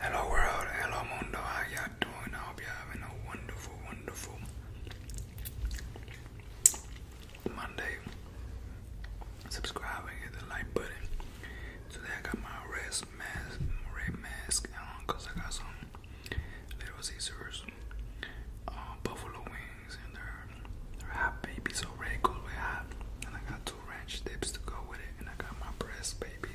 Hello world, hello mundo, how y'all doing? I hope y'all having a wonderful, wonderful Monday. Subscribe and hit the like button. Today I got my red mask, red mask on I got some little scissors, uh, buffalo wings, and they're, they're hot baby, so red goes way hot. And I got ranch dips to go with it, and I got my breast, baby.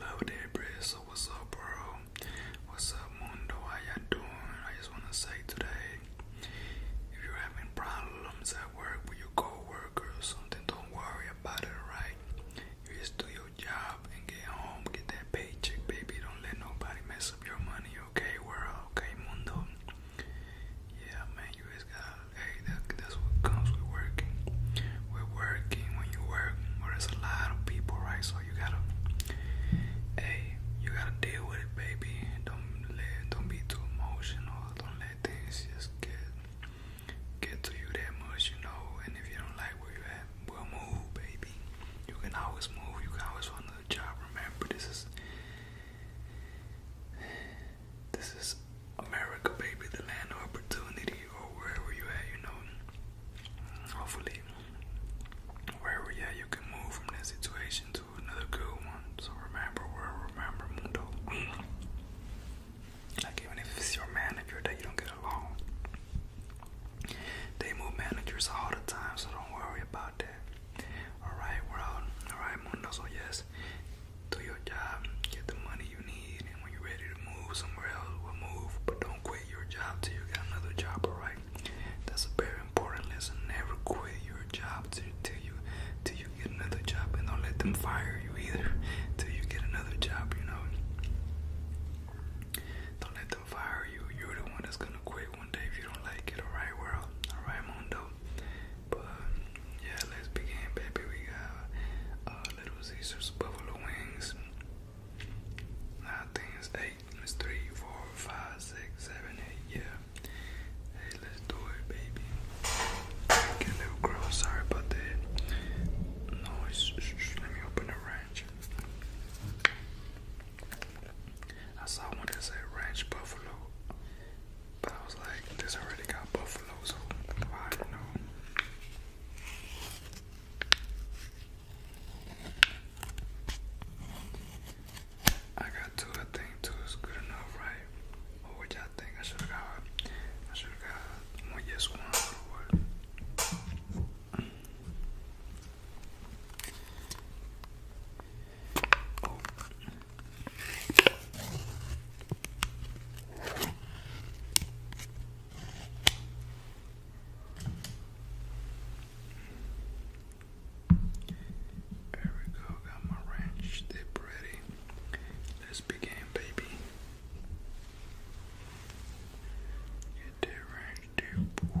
Love that breast. So what's up, bro? What's up, Mundo? How you doing? I just wanna say today, if you're having problems at work with your coworker or something, don't worry about it, right? You just do your job and get home, get that paycheck, baby. Don't let nobody mess up your money, okay, world? Okay, Mundo. Yeah, man, you just gotta hey, that's what comes with working. With working, when you work, there's a lot of people, right? So you gotta, hey, you gotta deal with it, baby. Don't let, don't be too emotional. Don't let things just get get to you that much, you know. And if you don't like where you at, well, move, baby. You can always move. You can always find another job. Remember, this is. This is America, baby, the land of opportunity, or wherever you at, you know. Hopefully, wherever you at, you can move from this situation to another cool one. So remember, we're remember, mundo. Like even if it's your manager that you don't get along, they move managers all the time, so don't worry about that. Alright right, we're world, alright mundo, so yes, do your job, get the money you need, and when you're ready to move somewhere else, we'll move. But don't quit your job till you got another job, alright? That's a very important lesson. Never quit your job till, till you till you get another job, and don't let them fire you either till you get another job. You know, don't let them fire you. You're the one that's gonna quit one day if you don't like it, alright, world? Alright, Mundo. But yeah, let's begin, baby. We got uh, Little Caesars buffalo wings. I think it's eight. It's three, four, five, six, seven, eight. Yeah. Hey, let's do it, baby. Get a little Sorry about that noise. Let me open the ranch. I saw one that ranch buffalo. But I was like, this already got buffalo, so why no? I got two, I think two is good enough, right? Or what y'all think? I should have got I should have got one yes one or what? Oh. There we go, got my ranch dip ready. Let's begin, baby. Get that ranch dip.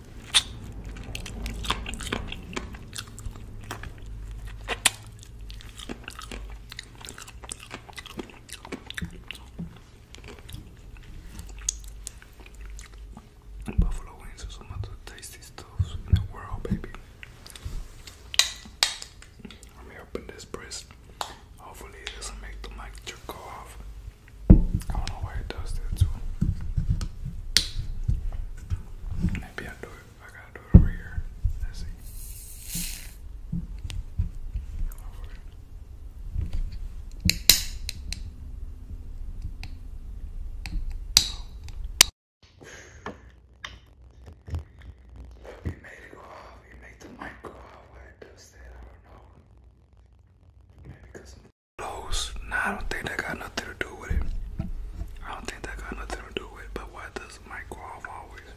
Buffalo wings are some of the tasty stuffs in the world, baby. Let me open this breast. Hopefully, it doesn't make the mic jerk off. I don't know why it does that too. Maybe I do it. I gotta do it over here. Let's see. You made it go off. You made the mic go off. Why it does that? I don't know. Maybe Lowe's. I don't think that got nothing to do with it. I don't think that got nothing to do with it. But why does my go always?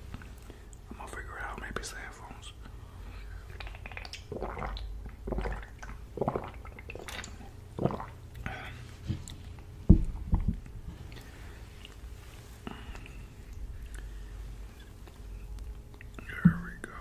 I'm gonna figure out. Maybe it's the There we go.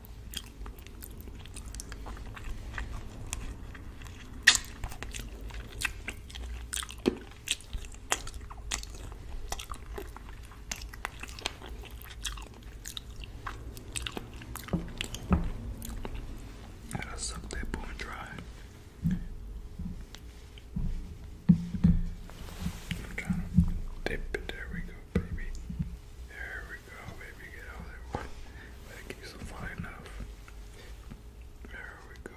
Gotta suck that boy dry. dip it. There we go, baby. There we go, baby, get out of there. that keeps them fly enough. There we go.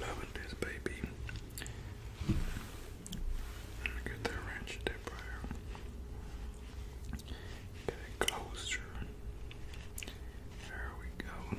Loving this baby. get that wrench there, Get it closer. There we go.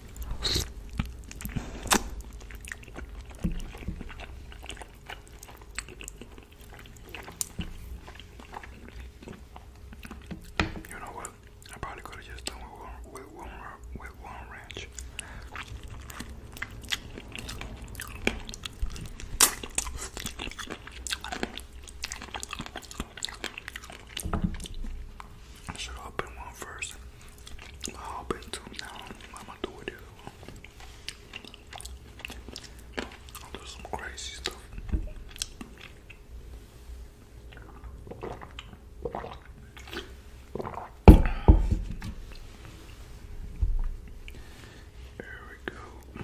You know what? I probably could have just done with one with one with ranch. I should open one first. I'll bring some now. I'm gonna do it here. I'll do some crazy stuff. There we go.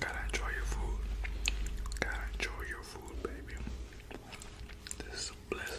Gotta enjoy your food. Gotta enjoy your food, baby. This is a blessing.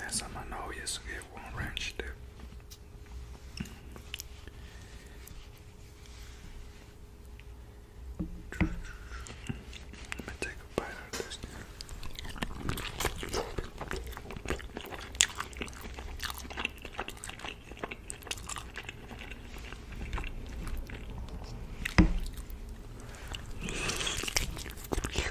Ne zaman na ovdje su je u ovom rančite. Let me take a bite of this.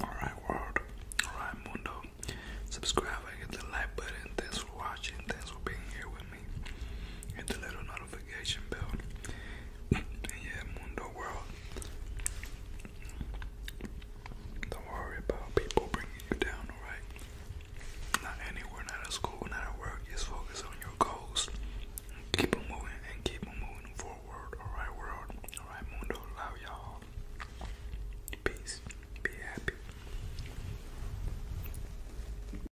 Alright, world. Alright, Mundo. Subscribe hit the like button. Thanks for watching. Thanks for being here with me hit the little notification bell and yeah mundo world don't worry about people bringing you down alright not anywhere not at school not at work just focus on your goals keep moving and keep moving forward alright world alright mundo love y'all peace be happy